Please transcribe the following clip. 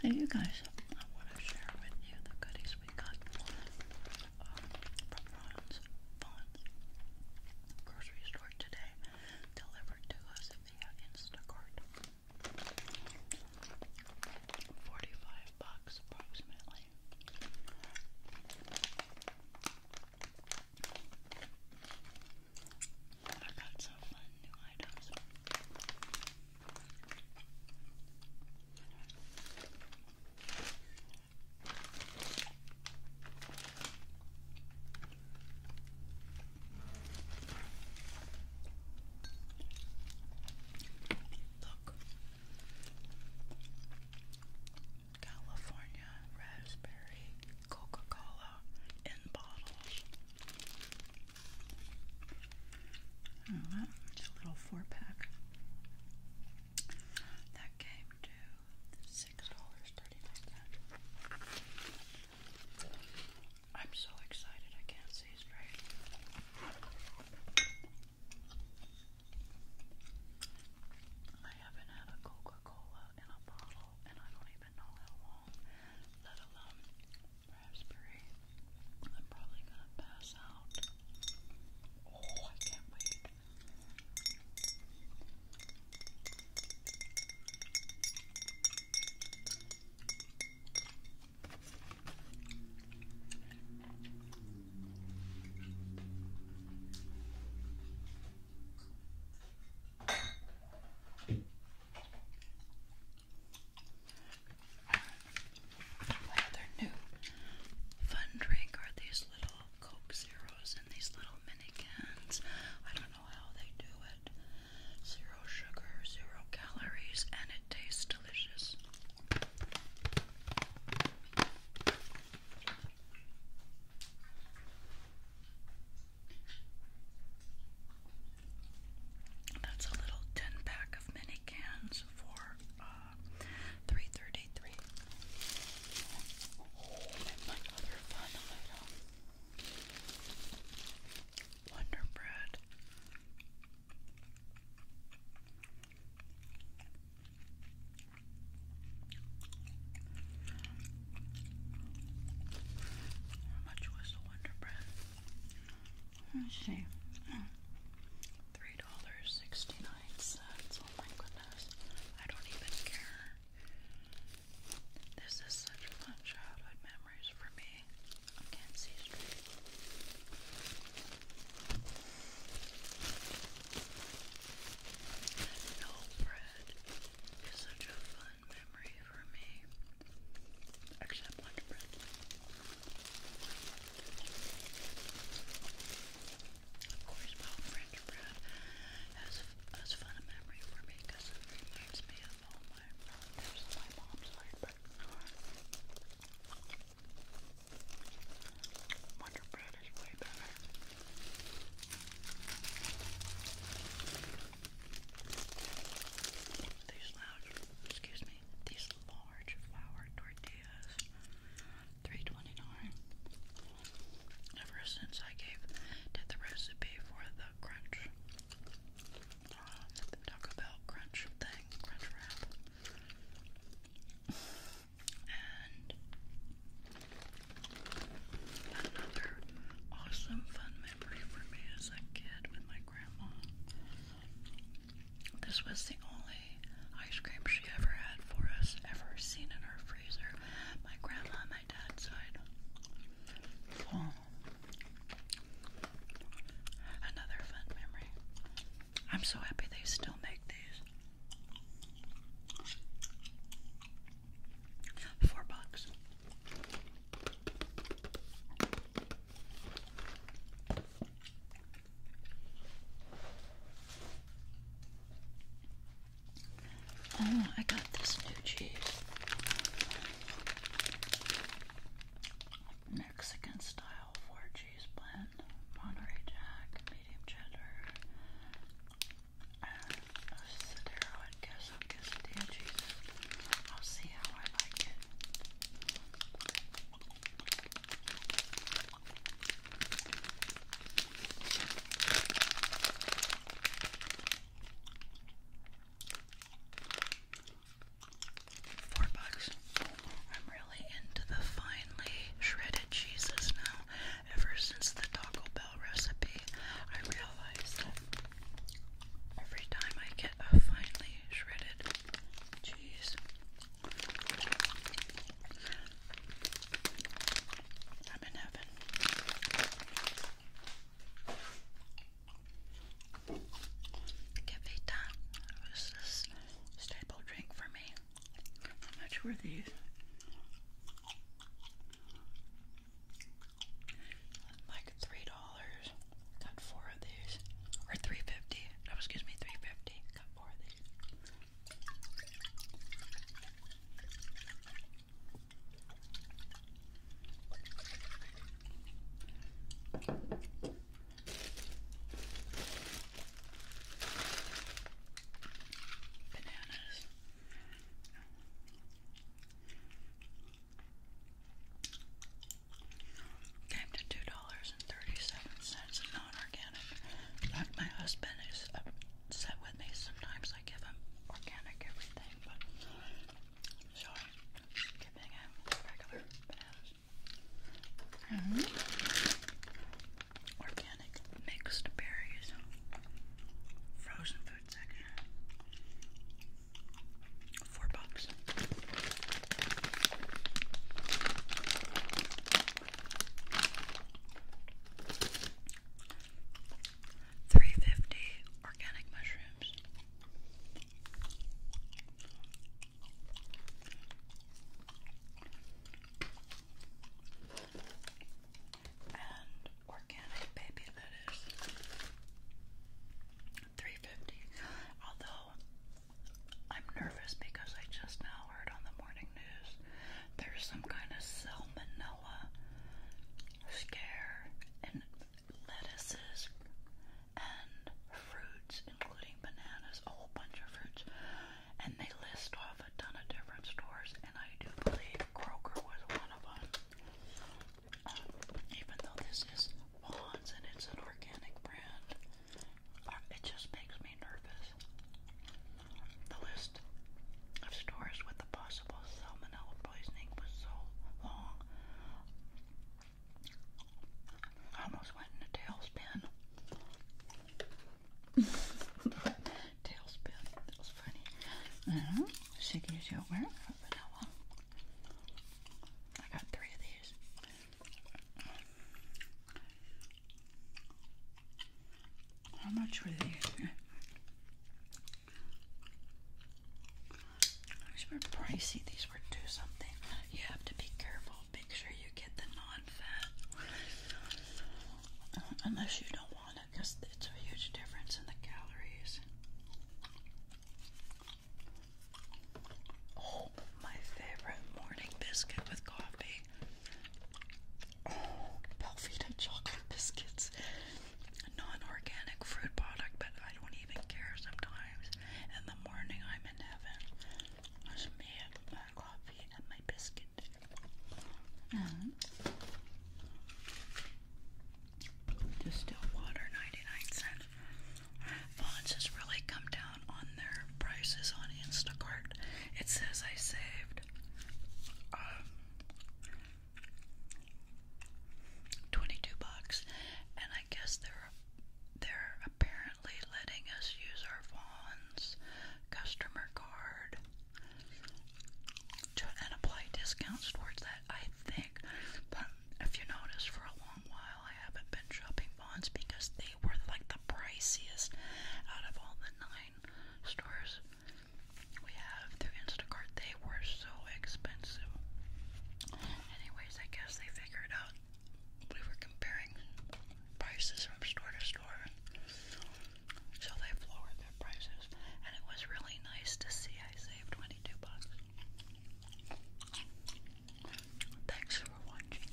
Hey you guys, I want to share with you the goodies we got uh, from Ron's grocery store today, delivered to us via Instacart. 45 bucks approximately. I've got some fun new items. Look, California raspberry Coca-Cola in bottles. it's oh, a little four pack. That came to six dollars thirty-nine cents. I'm so excited I can't see straight. I haven't had a Coca Coca-Cola in a bottle, and I don't even know how long, let alone raspberry. I'm probably gonna pass out. Oh, I can't wait. My other new fun drink are these little Coke Zeros in these little mini cans. I don't know how they do it. Zero sugar, zero calories, and it tastes delicious. That's a little ten pack of mini cans for uh, three thirty-three. Oh, my other fun Wonder Bread. How much was the Wonder Bread? Let's see. Three dollars sixty-nine cents. Oh my goodness. I don't even care. This is such fun childhood memories for me. I can't see straight. And no bread is such a fun memory for me. Except lunch bread. Of course, well, French bread has, has fun memory for me because it reminds me of all my relatives on my mom's side. But Wonder bread is way better. These large, excuse me, these large flour tortillas, three twenty nine. Ever since I gave did the recipe for the crunch, uh, Taco Bell crunch thing, crunch wrap another awesome fun memory for me as a kid with my grandma. This was the only ice cream she ever had for us, ever seen in our freezer. My grandma my dad's side. Oh. Another fun memory. I'm so happy they still make these. Four bucks. Oh, I got this new cheese. Mexican style four cheese blend, Monterey Jack, medium cheddar, and a Cedero and queso quesadilla cheeses. I'll see how I like it. Four bucks. I'm really into the finely shredded cheeses now. Ever since the Taco Bell recipe, I realized that every time I get a finely shredded cheese, I'm in heaven. Cavita was this staple drink for me. How much were these? Like three dollars. Got four of these, or three fifty. excuse me, three fifty. Got four of these. Bananas. Came to two dollars thirty-seven cents and non-organic. my husband is upset with me. Sometimes I give him organic everything, but dipping in mm-hmm. Organic mixed berries. Frozen food section. Four bucks. 350 organic mushrooms. And organic baby lettuce. 350. Although I'm nervous because I just now heard on the morning news there's some kind of salmonella scare in lettuces and fruits, including bananas, a whole bunch of fruits. And they list off a ton of different stores, and I do believe Kroger was one of them. Um, even though this is Bonds and it's an organic brand, uh, it just makes me nervous. The list of stores with the possible salmonella I almost went in a tailspin. tailspin. That was funny. Uh, Siggy's yogurt vanilla. I got three of these. How much were these? These were pricey. These were two something. You have to be careful. Make sure you get the non-fat, unless you don't want it, because it's a huge difference in the calories. Oh, my favorite morning biscuit with coffee. Oh, Belvita chocolate biscuits. Non-organic fruit product, but I don't even care sometimes. In the morning, I'm in heaven. It's me my coffee and my biscuit. Mm-hmm. Distilled water, 99 cents. Fonz has really come down on their prices on Instacart. It says I saved um, 22 bucks and I guess they're they're apparently letting us use our Vaughn's customer card to and apply discounts towards that I think but if you notice for a long while I haven't been shopping Vaughn's because they were like the priciest out of all the nine stores we have through Instacart. They were so expensive. Anyways, I guess they figured out we were comparing prices from store to store. So they've lowered their prices. And it was really nice to see I saved 22 bucks. Thanks for watching.